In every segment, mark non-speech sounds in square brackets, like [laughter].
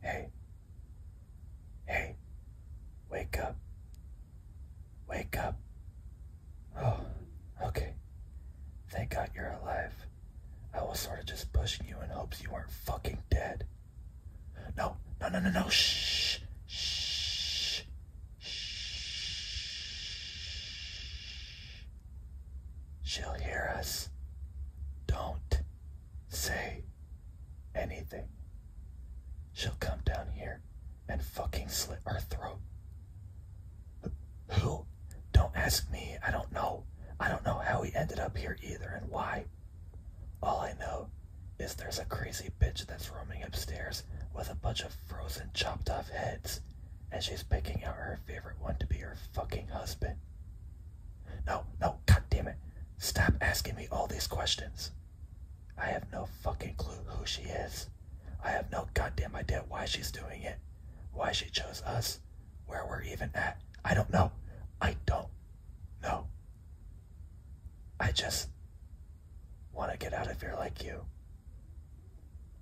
Hey, hey, wake up, wake up. Oh, okay. Thank God you're alive. I was sort of just pushing you in hopes you weren't fucking dead. No, no, no, no, no, shh, shh, shh. She'll hear us. Don't say anything. She'll come down here and fucking slit our throat. Who? Don't ask me. I don't know. I don't know how he ended up here either and why. All I know is there's a crazy bitch that's roaming upstairs with a bunch of frozen chopped off heads and she's picking out her favorite one to be her fucking husband. No, no, god damn it. Stop asking me all these questions. I have no fucking clue who she is. I have no goddamn idea why she's doing it, why she chose us, where we're even at. I don't know. I don't know. I just want to get out of here like you.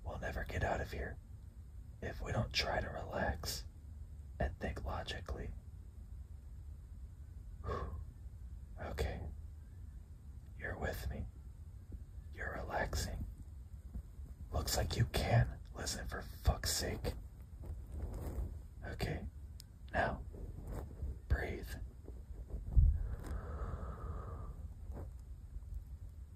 We'll never get out of here if we don't try to relax and think logically. [sighs] Okay, you're with me. You're relaxing. Looks like you can not listen for fuck's sake. Okay, now breathe.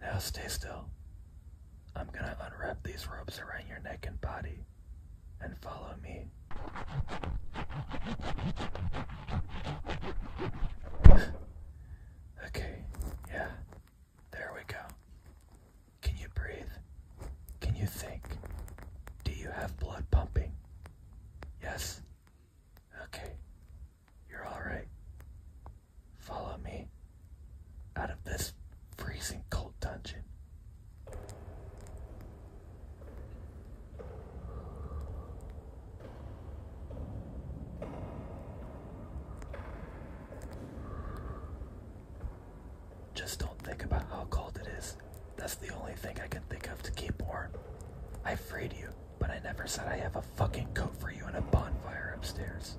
now stay still. I'm gonna unwrap these ropes around your neck and body and follow me. okay, yeah, there we go. Can you breathe? Can you think? Do you have blood pumping? Yes? Okay, you're alright. Follow me out of this freezing cold dungeon. Just don't think about how cold it is. That's the only thing I can think of to keep warm. I freed you, but I never said I have a fucking coat for you and a bonfire upstairs.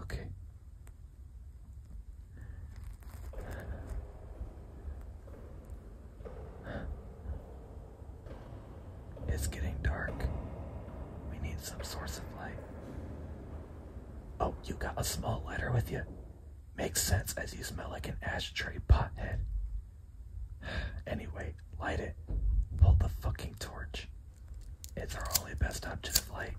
Okay. It's getting dark. We need some source of light. Oh, you got a small lighter with you? Makes sense as you smell like an ashtray pothead. Anyway, light it. Hold the fucking torch. It's our only best option of light.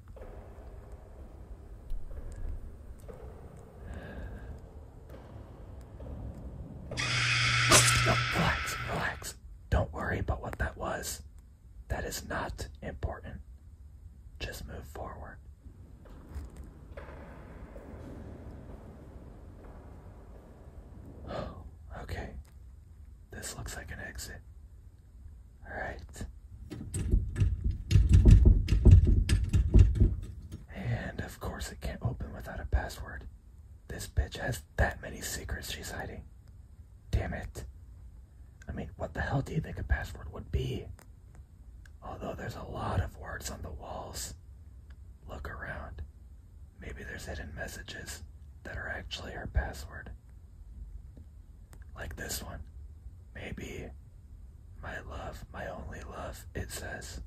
relax, relax. Don't worry about what that was. That is not important. Just move forward. [gasps] okay. This looks like an exit. Alright. And of course, it can't open without a password. This bitch has that many secrets she's hiding. Damn it. I mean, what the hell do you think a password would be? Although there's a lot of words on the walls. Look around. Maybe there's hidden messages that are actually our password. Like this one. Maybe my love, my only love, it says.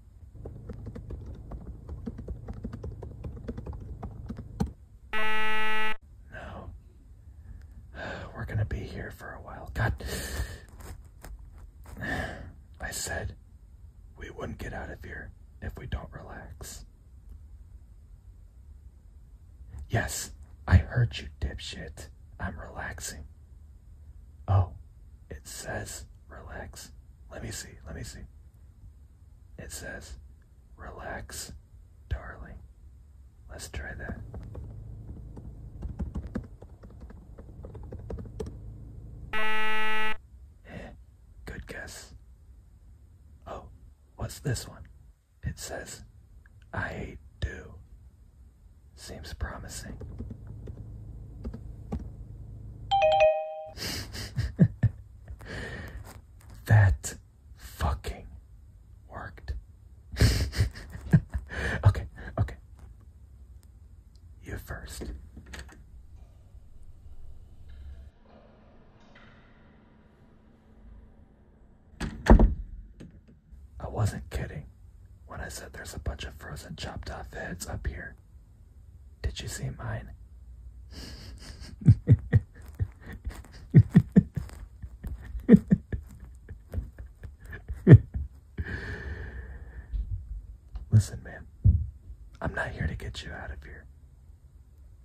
No. [sighs] We're gonna be here for a while. God. [sighs] I said we wouldn't get out of here if we don't relax. Yes, I heard you, dipshit. I'm relaxing. Oh, it says relax. Let me see, let me see. It says relax, darling. Let's try that. Eh. Good guess. Oh, what's this one? It says, I do. Seems promising. [laughs] that fucking worked. [laughs] okay, okay. You first. I wasn't kidding when I said there's a bunch of frozen chopped off heads up here. Did you see mine? [laughs] Listen, man, I'm not here to get you out of here.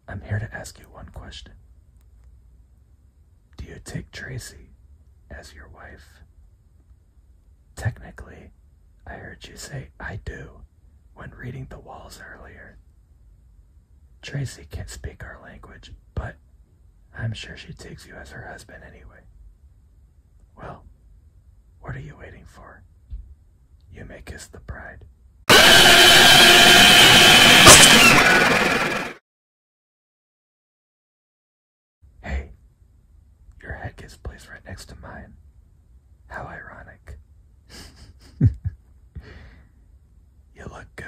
I'm here to ask you one question. Do you take Tracy as your wife? Technically, I heard you say I do when reading the walls earlier. Tracy can't speak our language, but I'm sure she takes you as her husband anyway. Well, what are you waiting for? You may kiss the bride. Hey, your head gets placed right next to mine. How ironic. [laughs] you look good.